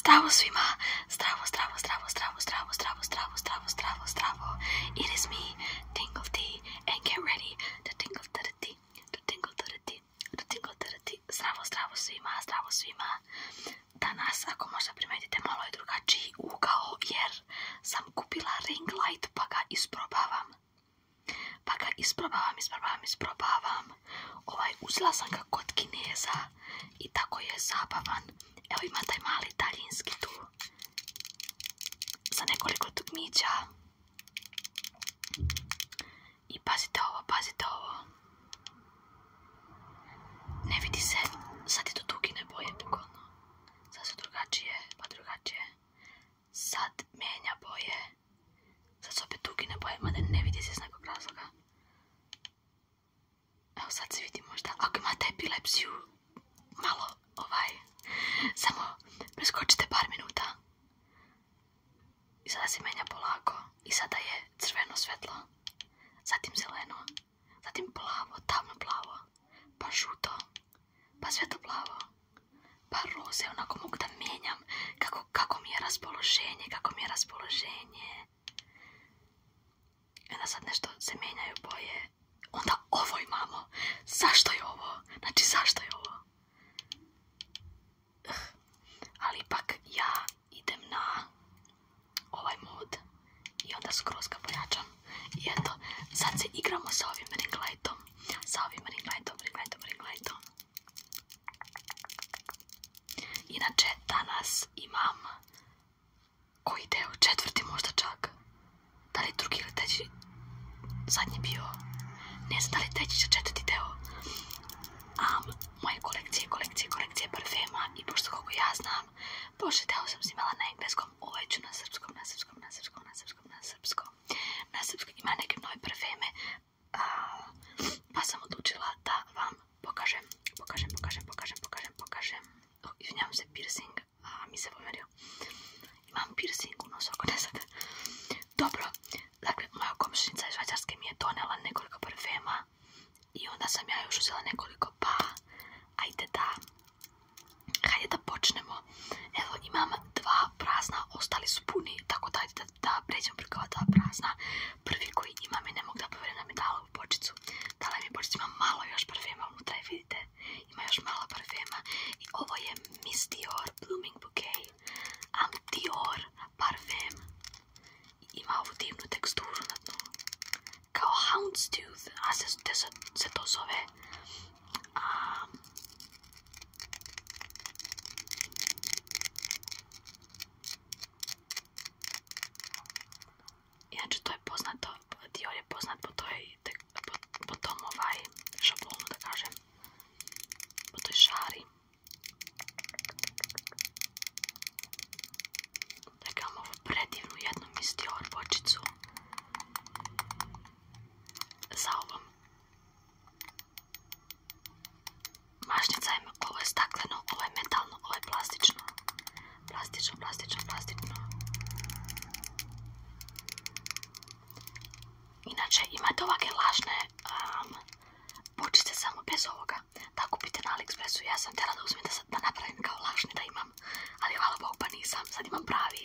Zdravo svima, zdravo, zdravo, zdravo, zdravo, zdravo, zdravo, zdravo, zdravo, zdravo, zdravo. It is me, of the, and get ready to tingle to the tea, to tingle to the to tingle to the Zdravo, zdravo svima, zdravo svima. Danas, ako možda primetite, malo je drugačiji ugao, jer sam kupila ring light pa ga isprobavam. Pa ga isprobavam, isprobavam, isprobavam. Ovaj, uzela sam ga kod kineza i tako je zabavan. Evo ima taj mali daljinski tu sa nekoliko dugmića. I pazite ovo, pazite ovo. Ne vidi se, sad je to ne boje pogodno. Sad su drugačije, pa drugačije. Sad mijenja boje. Sad su opet dugine boje, mada ne vidi se iz nekog razloga. Evo sad se vidi možda, ako imate epilepsiju, malo ovaj, samo preskočite par minuta. I sada se menja polako. I sada je crveno svetlo, zatim zeleno, zatim plavo, tamno plavo, pa žuto, pa svetlo plavo, pa roze, onako mogu da menjam kako, kako mi je raspoloženje, kako mi je raspoloženje. Onda e sad nešto se mijenjaju boje. Onda ovo imamo. Zašto je ovo? Znači zašto je ovo? Ali ipak ja idem na ovaj mod i onda skroz ga pojačam. I eto, sad se igramo sa ovim lightom. Sa ovim lightom, ring lightom. Inače, danas imam koji deo, četvrti možda čak. Da li drugi ili zadnji bio, ne znam da li treći će četvrti deo. moje kolekcije, kolekcije, kolekcije parfema i pošto kako ja znam, pošto deo sam snimala na engleskom, ovaj ću na srpskom, na srpskom, na srpskom, na srpskom, na srpskom. Na srpskom ima neke nove parfeme, pa sam odlučila da vam Pokażę, pokažem, pokażę, pokažem, pokažem. pokażę. O, już piercing, a mi se pomylił. Imam piercing u nosoko, sad. Dobro, dakle, moja iz Švajcarske mi je donela nekoliko parfuma. i onda sam ja još uzela nekoliko, pa ajde da, hajde da počnemo. Evo, imam dva prazna, ostali su puni, tako da ajde da da pređemo preko ova dva prazna. Prvi koji imam i ne mogu da poverim da mi dala u bočicu. Dala mi bočicu, ima malo još parfema unutra, vidite. Ima još malo parfema. I ovo je Miss Dior Blooming Bouquet. Am Dior parfem. ima ovu divnu teksturu na dnu. Kao Houndstooth, a se, to zove. Inače to je poznato, dio je poznat po, toj, po, po tom ovaj šablonu da kažem, po toj šari. Dakle imam ovu predivnu jednu bočicu sa ovom mašnica ima, ovo je stakleno, ovo je metalno, ovo je plastično. Plastično, plastično, plastično. Inače, imate ovakve lažne um, samo bez ovoga. Da kupite na Aliexpressu, ja sam tjela da uzmem da, sad, napravim kao lažni da imam. Ali hvala Bog pa nisam, sad imam pravi.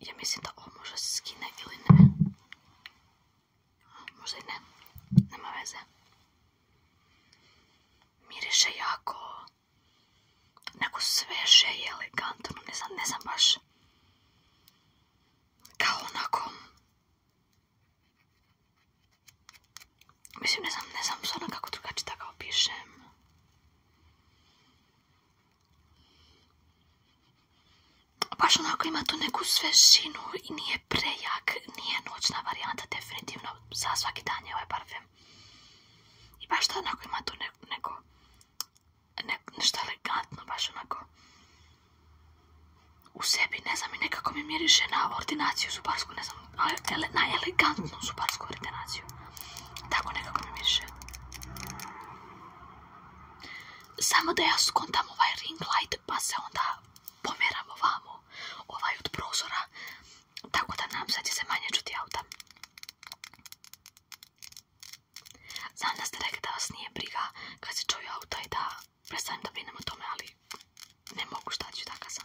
Ja mislim da ovo možda se skine ili ne. Možda i ne. Nema veze. Miriše jako neko sveže i elegantno. Ne znam, ne znam baš. Kao onako... Mislim, ne znam, ne znam sada kako drugačije da opišem. Baš onako ima tu neku svežinu i nije prejak, nije noćna varijanta, definitivno za svaki dan je ovaj parfem. I baš to onako ima tu neko, nešto elegantno, baš onako u sebi, ne znam i nekako mi miriše na ordinaciju zubarsku, ne znam, na elegantnu zubarsku ordinaciju. Tako nekako mi miriše. Samo da ja skontam ovaj ring light pa se onda pomeram ovamo ovaj od prozora. Tako da nam sad će se manje čuti auta. Znam da ste rekli da vas nije briga kad se čuju auta i da prestanem da brinem o tome, ali ne mogu šta ću, da kazam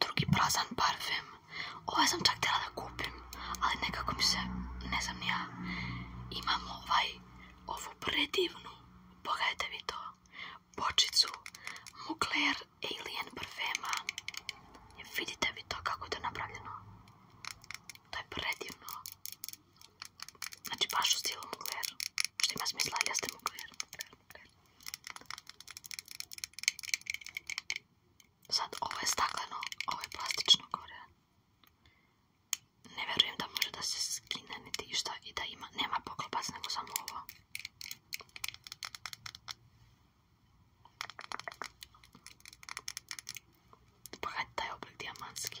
drugi prazan parfem. Ovaj sam čak htjela da kupim, ali nekako mi se, ne znam ni ja, imam ovaj, ovu predivnu, pogledajte vi to, bočicu Mugler Alien parfema. Vidite vi to kako to napravljeno. To je predivno. Znači baš u stilu Mugler. Što ima smisla, ja Mugler. Sad, ovo je stakleno, ovo je plastično gore. Ne vjerujem da može da se skine niti išta i da ima, nema poklopac nego samo ovo. Pogledajte pa taj oblik dijamantski.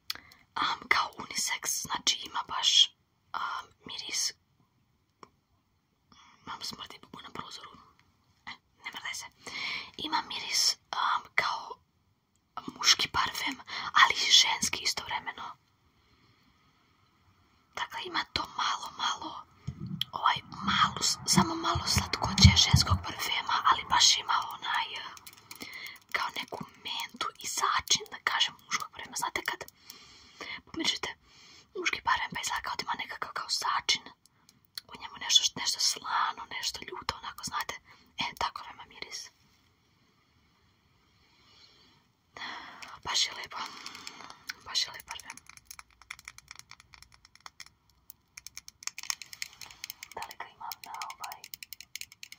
kao unisex, znači ima baš miris mam smrti na prozoru e, ne se ima miris kao muški parfem ali i ženski istovremeno dakle ima to malo malo ovaj malo, samo malo slatkoće ženskog parfema ali baš ima onaj kao neku mentu i sačin, da kažem, muškog parema. Znate kad pomišljate muški parem pa izgleda kao da ima nekakav kao začin, u njemu nešto, nešto slano, nešto ljuto, onako, znate, e, tako vema miris. Baš je lijepo, baš je lijepo da li ga imam na ovaj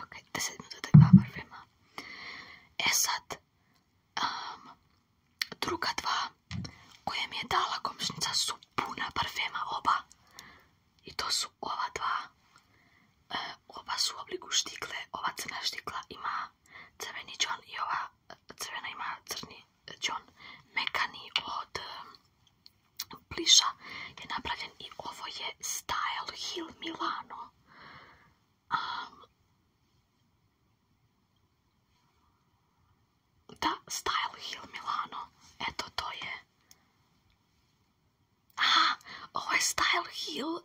Ok, 10 minuta dva parfema. E sad, druga dva koje mi je dala komšnica su puna parfema oba. I to su ova dva. Eh, oba su u obliku štikle, ova crna štikla ima crveni džon i ova eh, crvena ima crni džon mekani od eh, pliša je napravljen i ovo je Style Hill Milano da, Style Hill Milano eto to je aha, ovo je Style Hill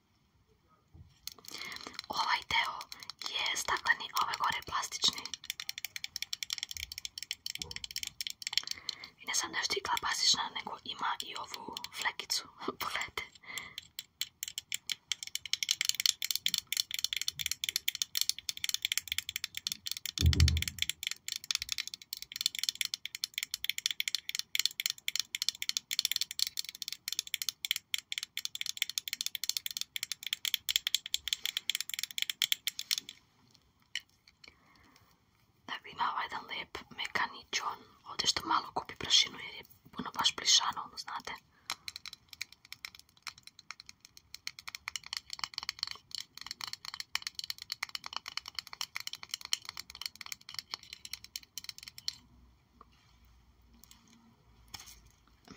Ovaj dio je stakleni, ovaj gore je plastični. I ne sam da je štikla plastična, nego ima i ovu flekicu. Pogledajte. Da bi imao jedan lep mekaničon, ovdje što malo kupi prašinu jer je puno baš plišano, ono znate.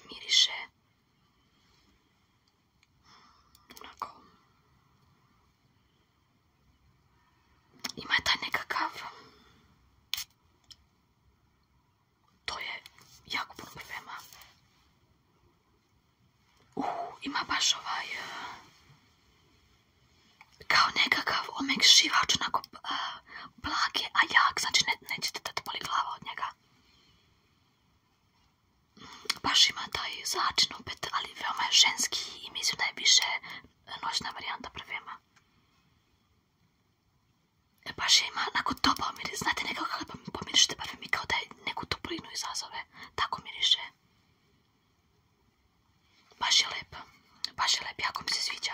Miriše onako ima taj nekakav to je jako puno problema uh, ima baš ovaj kao nekakav omekšivač, onako blag a jak, znači ne, nećete da te boli glava od njega. Baš ima taj začin opet, ali veoma je ženski i mislim da je više noćna varijanta prvema. E, baš nako ima onako znate nekako kada pomirište parfum kao da je neku toplinu izazove, tako miriše. Baš je lep, baš je jako mi se sviđa.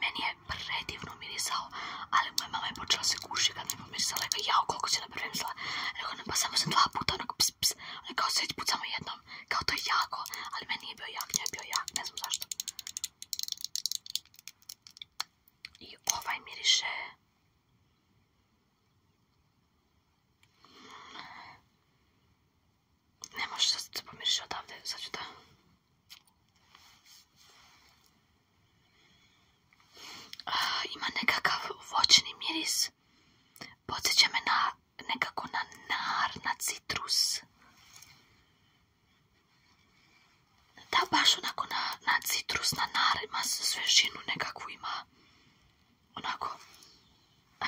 meni je predivno mirisao, ali moja mama je počela se kušiti kad mi je mirisala, rekao, jao, koliko si napravo mirisala, rekao, ne, pa samo sam dva puta, onako, ps, ps, ono je kao sveć put samo jednom, kao to je jako, ali meni je bio jak, njoj je bio jak, ne znam zašto. I ovaj miriše... Ne može sad se pomiriše odavde, sad ću da... Ah, ima nekakav voćni miris. Podsjeća me na nekako na nar, na citrus. Da, baš onako na, citrus, na nar, ima svežinu nekakvu, ima onako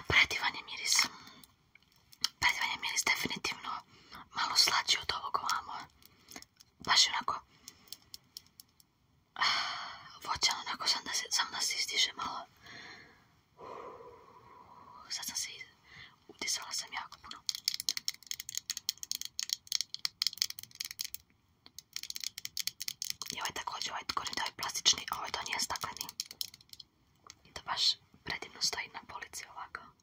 predivan je miris. Predivan miris definitivno malo slađi od ovog ovamo. baš onako ah, voćan, onako sam da se, sam da malo. Sad sam se iz... udisala sam jako puno. I ovaj također, ovaj gorni je plastični, a ovaj to nije stakleni. I to baš predivno stoji na polici ovako.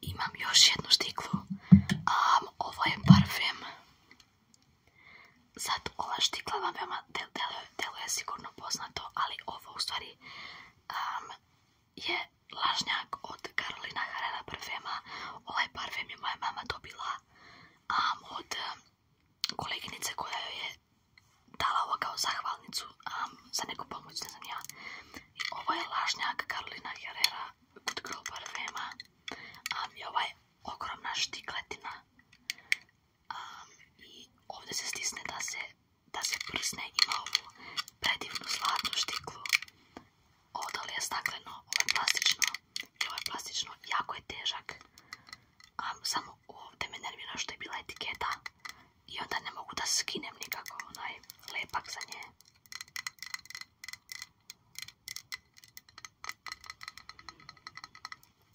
Imam još jednu štiklu. Um, ovo je parfem. Sad ova štikla vam veoma del, deluje sigurno poznato, ali ovo u stvari je lažnjak od Karolina Herrera parfema. Ovaj parfem je moja mama dobila um, od koleginice koja joj je dala ovo kao zahvalnicu za neku pomoć, ne znam ja. I ovo je lažnjak Karolina Herrera Good Girl Parfema. I ova je ogromna štikletina. I ovdje se stisne da se, da se prsne ima ovu predivnu zlatnu štiklu. Ovo je stakleno, ovo je plastično plastično, jako je težak. A samo ovdje me nervira što je bila etiketa. I onda ne mogu da skinem nikako onaj lepak za nje.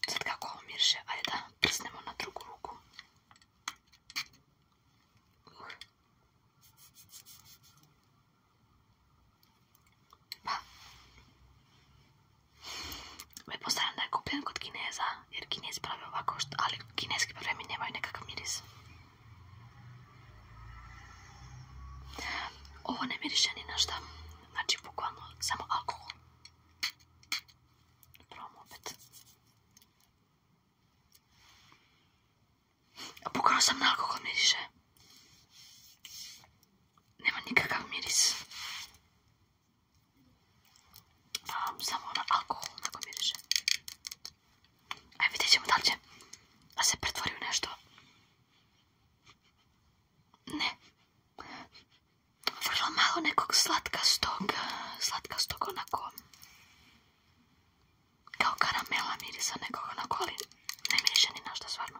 Sad kako ovo mirše, da prsnemo na drugu ruku. Uh. Pa. Pretpostavljam da je kupljen kod Kineza, jer Kinezi pravi ovako, ali kineski parfemi nemaju nekakav miris. Ovo ne miriše ni na šta, znači bukvalno samo alkohol. Probam opet. Bukvalno sam na alkohol miriše nema nikakav miris. Ehm, samo ono alkohol onako miriše. Aj e, vidjet ćemo da li se pretvori u nešto. Ne. Vrlo malo nekog slatkastog, stoga, onako kao karamela mirisa nekog onako, ali ne miriše ni našta stvarno.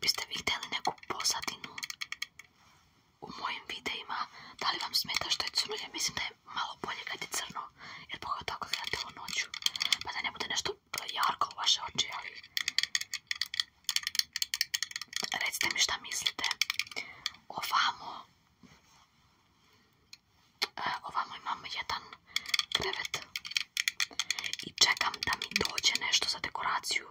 biste vi htjeli neku posadinu u mojim videima, da li vam smeta što je cnoje, mislim da je malo bolje kad crno, jer pogotovo ako gledate noću, pa da ne bude nešto e, jarko u vaše oči, ali recite mi šta mislite, ovamo, e, ovamo imam jedan krevet i čekam da mi dođe nešto za dekoraciju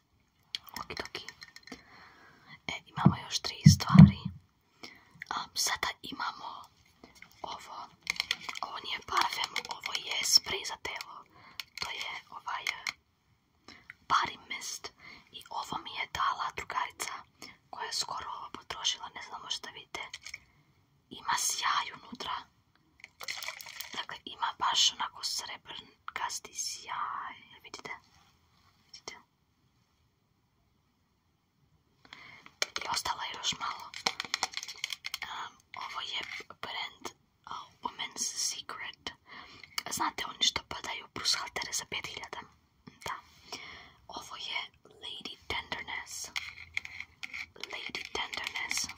E, imamo još tri stvari. A, sada imamo ovo. Ovo nije parfem, ovo je spray To je ovaj e, parimest. I ovo mi je dala drugarica koja je skoro ovo potrošila. Ne znamo što vidite. Ima sjaj unutra. Dakle, ima baš onako srebrnkasti sjaj. Vidite? Vidite? I ostalo je još malo. ovo je brand Women's Secret. Znate oni što padaju Haltere za 5000? Da. Ovo je Lady Tenderness. Lady Tenderness.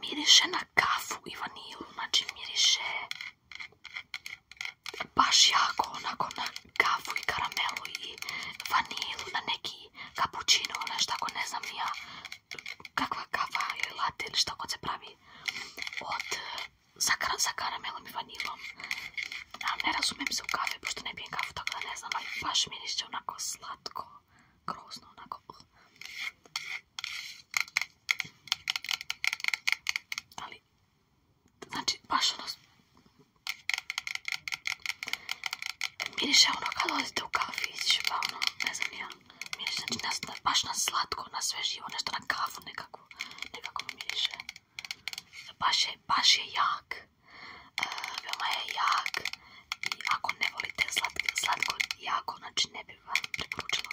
Miriše na kafu i vanilu, znači miriše baš jako onako na kafu i karamelu i vanilu, na neki kapućinu, nešto ako ne znam ja kakva kafa ili latte ili što ako se pravi od, sa, karamelom i vanilom. ne razumijem se u kafe, pošto ne pijem kafu, tako da ne znam, ali baš miriše onako slatko grozno onako. Ali, znači, baš ono... Miriše ono kad odite u kafić, pa ono, ne znam ja. znači, baš na slatko, na sve živo, nešto na kafu nekako. Nekako mi miriše. Baš je, baš je jak e, je jak i ako ne volite slatko, slatko jako, znači ne bih vam preporučila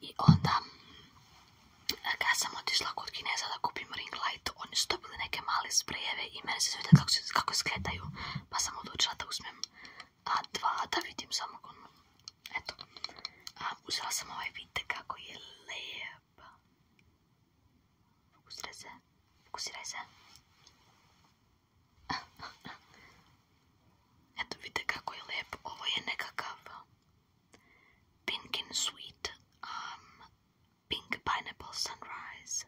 I onda kada e, sam otišla kod Kineza da kupim ring light, oni su dobili neke male sprejeve i mene se svidjeli kako izgledaju, pa sam odlučila da uzmem dva da vidim samo ono, eto, a, uzela sam ovaj, vidite kako je lijep, fokusiraj se, fokusiraj se, eto vidite kako pink and sweet, um, pink pineapple sunrise,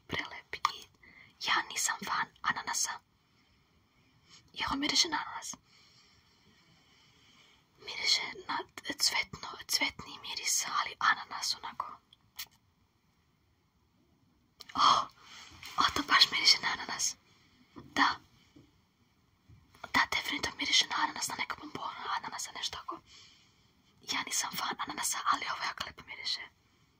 i prelep i ja nisam fan ananasa. Jer on miriše na ananas. Miriše na cvetno, cvetni miris, ali ananas onako. Oh, o, to baš miriše na ananas. Da. Da, definitivno miriše na ananas, na neka bombona ananasa, nešto tako. Ja nisam fan ananasa, ali ovo ovaj jako lijepo miriše.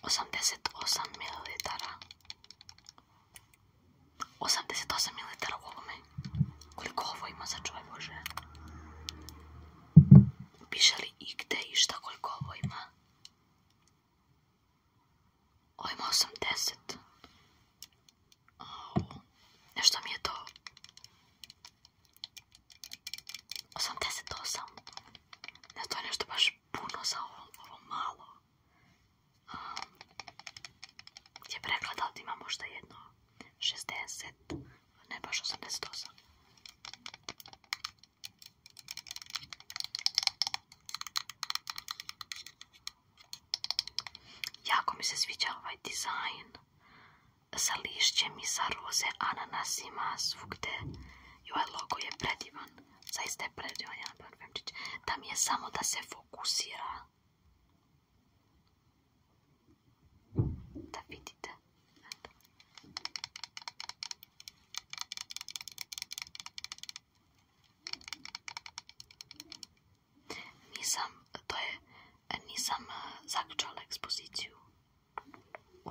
88 ml 88 ml u ovome koliko ovo ima za čuvaj bože piše li i gde i šta koliko ovo ima ovo ima 80 nešto mi je to 88 ne to je nešto baš puno za ovo, ovo malo je rekla ovdje ima možda jedno 60, ne baš 88. Jako mi se sviđa ovaj dizajn sa lišćem i sa roze ananasima svugde i ovaj logo je predivan zaista je predivan Jelena mi je samo da se fokusira. Da vidite. Nisam, to je, nisam eh, zaključala ekspoziciju. U,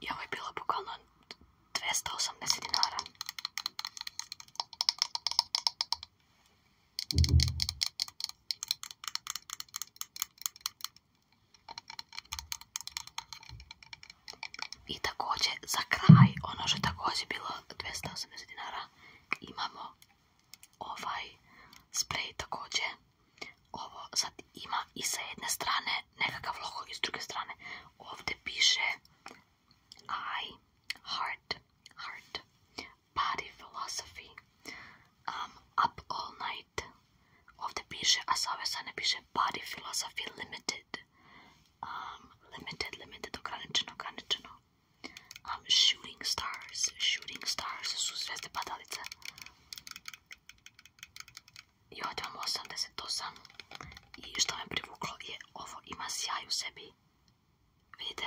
I ovo je bilo bukvalno 280 dinara. I također za kraj, ono što je također bilo 280 dinara, imamo ovaj spray također. Ovo sad ima i sa jedne strane nekakav logo i s druge strane ovdje piše I heart, heart, body philosophy, um, up all night. Ovdje piše, a sa ove strane piše Body Philosophy Limited. Um, limited, limited, ograničeno, ograničeno. Um, shooting stars, shooting stars su zvijezde padalice. I ovdje imam 88. I što me privuklo je ovo, ima sjaj u sebi. Vidite?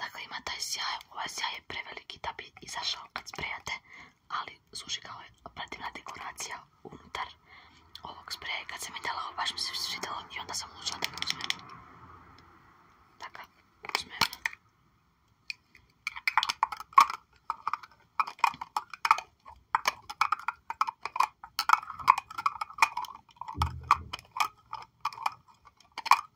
Dakle, ima taj sjaj, ovaj sjaj je preveliki da bi izašao kad sprejate, ali služi kao prativna dekoracija unutar ovog spreja. Kad sam vidjela ovo, baš mi se svidjelo i onda sam odlučila da ga uzmem. uzmem.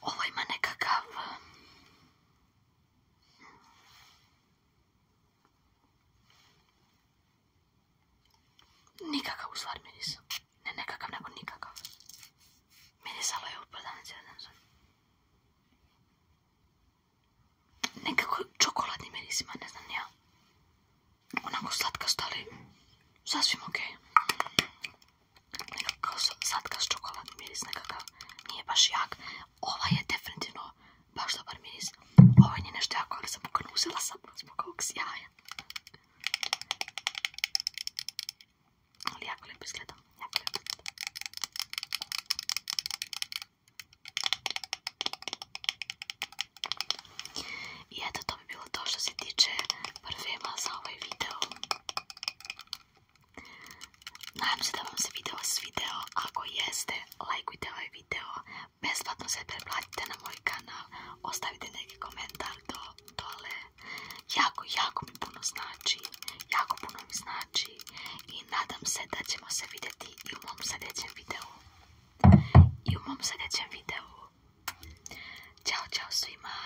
Ovo ima nekakav... Nikakav u stvari miris. Ne nekakav, nego nikakav. Mirisalo je u prodavnici, ne znam. Nekako čokoladni miris ima, ne znam ja. Onako slatka stali. Sasvim okej sadka sadkaš čokoladni miris, nekakav nije baš jak. Ova je definitivno baš dobar miris. ova je nešto jako, ali sam pokrnuzila sam zbog ovog sjaja. Ali jako lijepo izgleda, jako lijepo izgleda. I eto, to bi bilo to što se tiče parfema za ovaj video. Nadam se da vam se video video, ako jeste, lajkujte ovaj video, besplatno se preplatite na moj kanal, ostavite neki komentar do, dole, jako, jako mi puno znači, jako puno mi znači i nadam se da ćemo se vidjeti i u mom sljedećem videu, i u mom sljedećem videu. Ćao, čao svima!